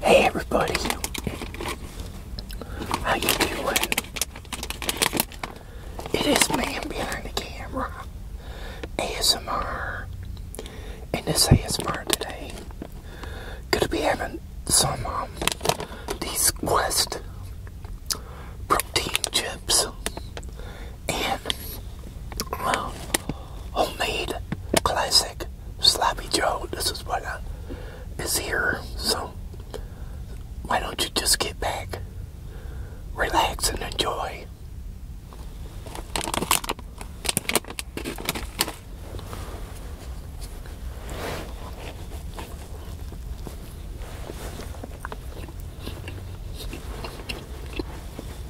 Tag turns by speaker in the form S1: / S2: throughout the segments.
S1: Hey everybody, how you doing? It is man behind the camera, ASMR, and this ASMR today, gonna be having some um, these Quest protein chips and well, homemade classic sloppy joe. This is what is here. So why don't you just get back, relax, and enjoy?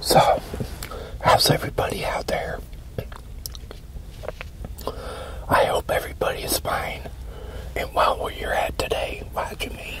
S1: So, how's everybody out there? I hope everybody is fine and well where you're at today watching me.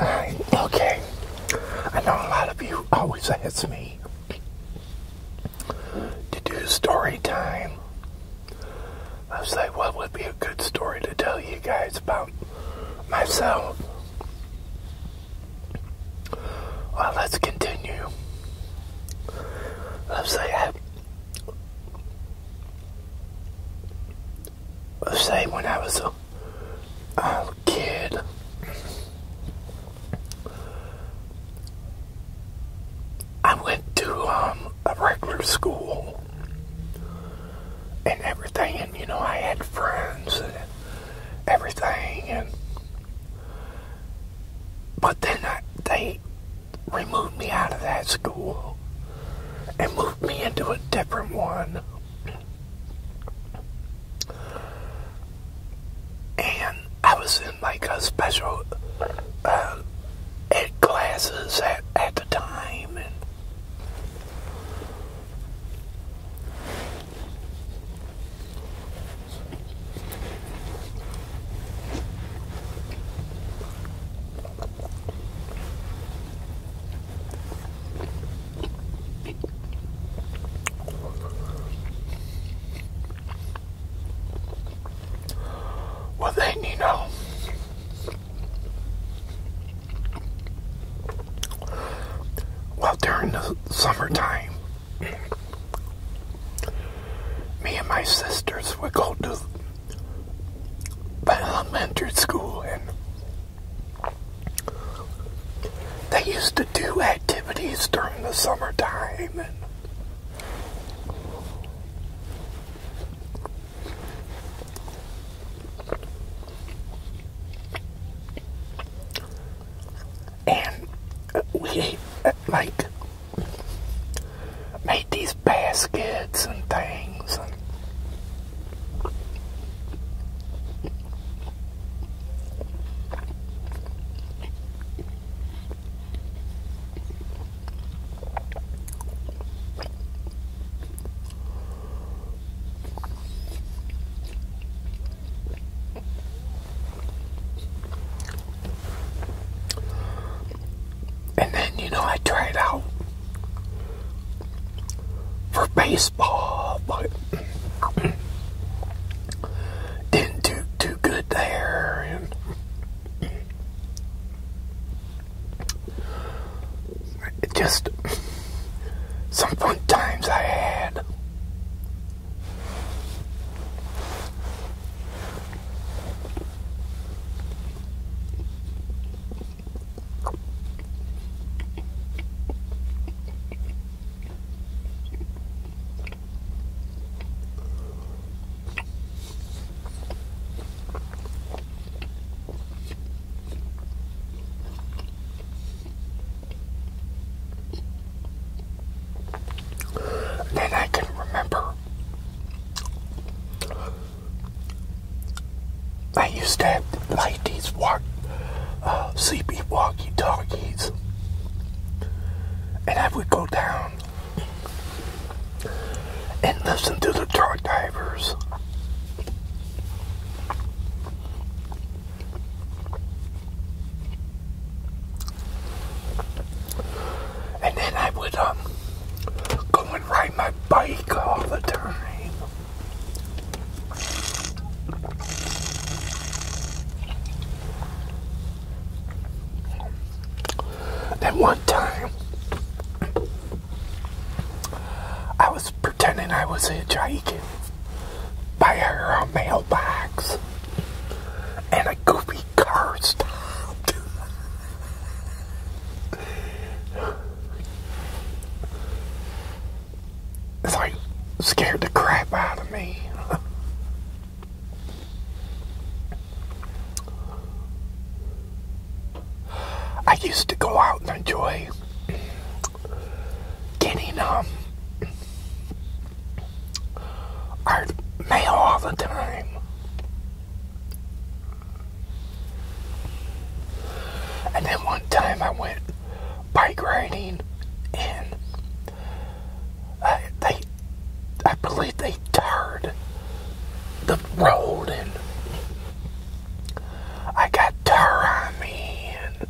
S1: I, okay, I know a lot of you always ask me to do story time. I was like, what would be a good story to tell you guys about myself? Well, let's continue. Let's say I, let's say when I was a, kid, I went to um, a regular school and everything, and you know I had friends everything and but then I, they removed me out of that school and moved me into a different one. And I was in like a special uh, ed classes at, at the time. What they need now. Well, during the summertime, me and my sisters would go to the elementary school, and they used to do activities during the summertime. And we like made these baskets and things. And then, you know, I tried out for baseball, but didn't do too good there. It just some fun times I had then I can remember I used to have ladies' walk, uh, sleepy walkie talkies, and I would go down and listen to the truck drivers. And then I would um, go and ride my bike all the time. And one time, I was pretending I was a hitchhiking by her uh, mailbox, and a goofy car stopped. It's like scared the crap out of me. I used to go out and enjoy getting um our mail all the time. And then one time I went bike riding and I, uh, they, I believe they they the road and I got tar on me and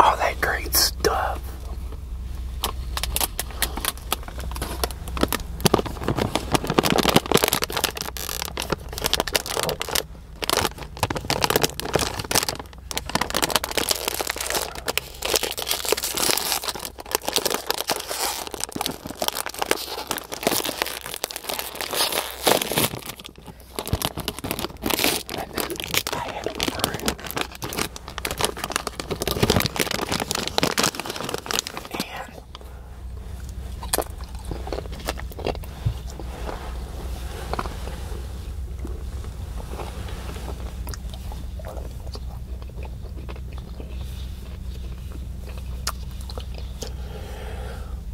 S1: all that great stuff. And then I had to burn and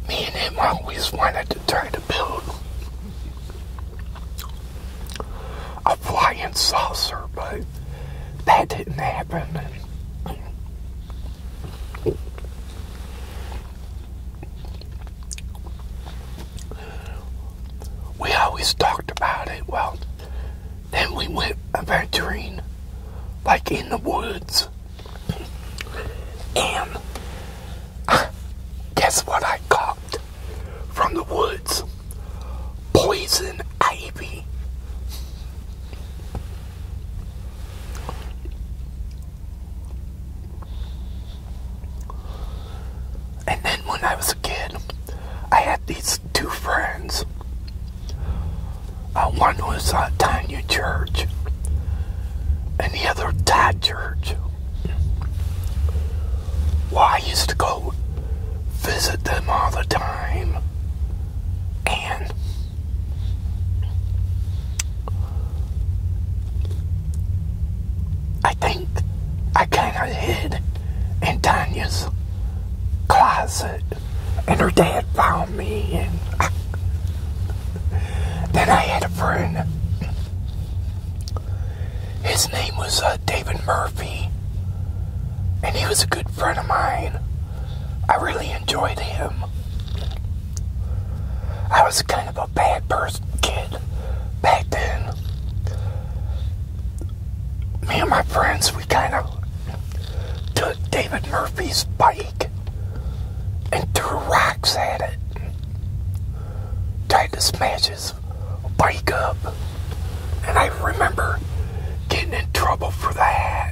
S1: me and him always wanted to try to build a flying saucer, but that didn't happen we always talked about it. Well, then we went adventuring, like in the woods. And guess what I caught from the woods? Poison ivy. And then when I was a kid, I had these two friends. Uh, one was a uh, Tanya Church, and the other Todd Church. Well, I used to go visit them all the time, and I think I kind of hid in Tanya's closet, and her dad found me, and then I had a friend. His name was uh, David Murphy, and he was a good friend of mine. I really enjoyed him. I was kind of a bad person kid back then. Me and my friends, we kind of took David Murphy's bike and threw rocks at it. Tried to smash his bike up. And I remember getting in trouble for that.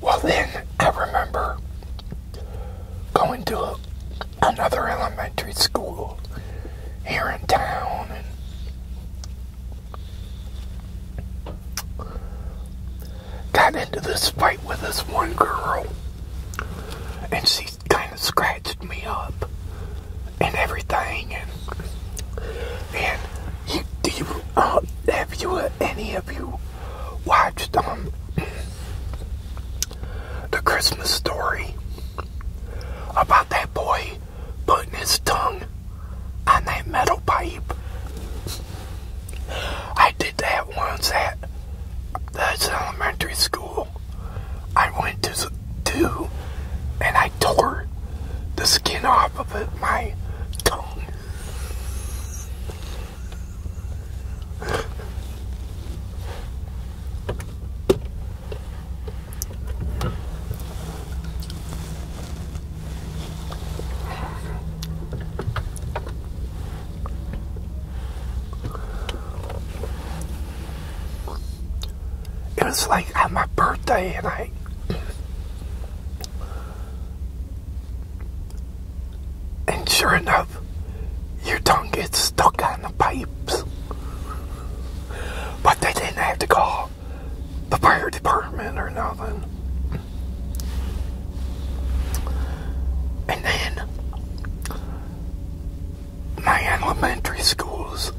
S1: Well, then I remember going to a another elementary school here in town. got into this fight with this one girl, and she kind of scratched me up and everything. And uh, have you uh, any of you watched um the Christmas story about that boy putting his tongue on that metal pipe. I did that once at that's elementary school. I went to do and I tore the skin off of my tongue. It was like at my birthday and I and sure enough stuff, your tongue gets stuck on the pipes. But they didn't have to call the fire department or nothing. And then my elementary schools,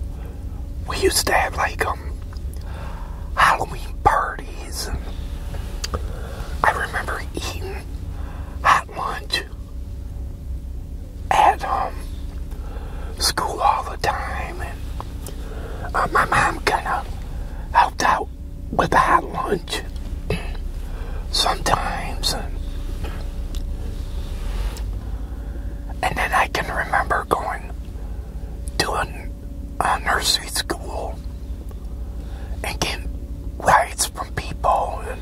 S1: we used to have like um Halloween parties. I remember eating lunch at um, school all the time. And uh, my mom kind of helped out with the hot lunch sometimes. And, then I can remember going to a, a nursery school and get rights from people. And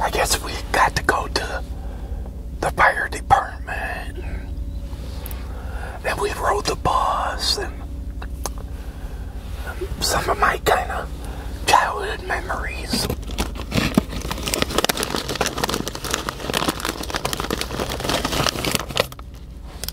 S1: I guess we got to go to the fire department. And, and we rode the bus. And some of my kind of childhood memories.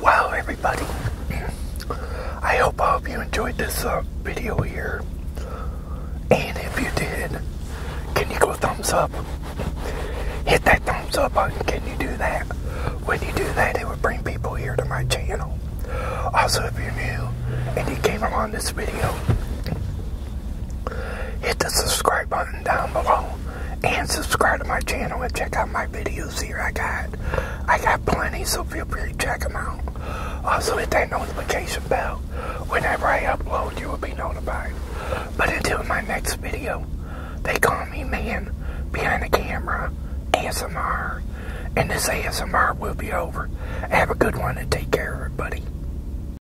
S1: Wow, everybody. I hope all of you enjoyed this uh, video here. And if you did, can you go thumbs up? Hit that thumbs up button. Can you do that? When you do that, it would bring people here to my channel. Also, if you're new and you came along this video, hit the subscribe button button down below and subscribe to my channel and check out my videos here. I got I got plenty, so feel free to check them out. Also hit that notification bell. Whenever I upload, you will be notified. But until my next video, they call me man behind the camera ASMR. And this ASMR will be over. Have a good one and take care, everybody.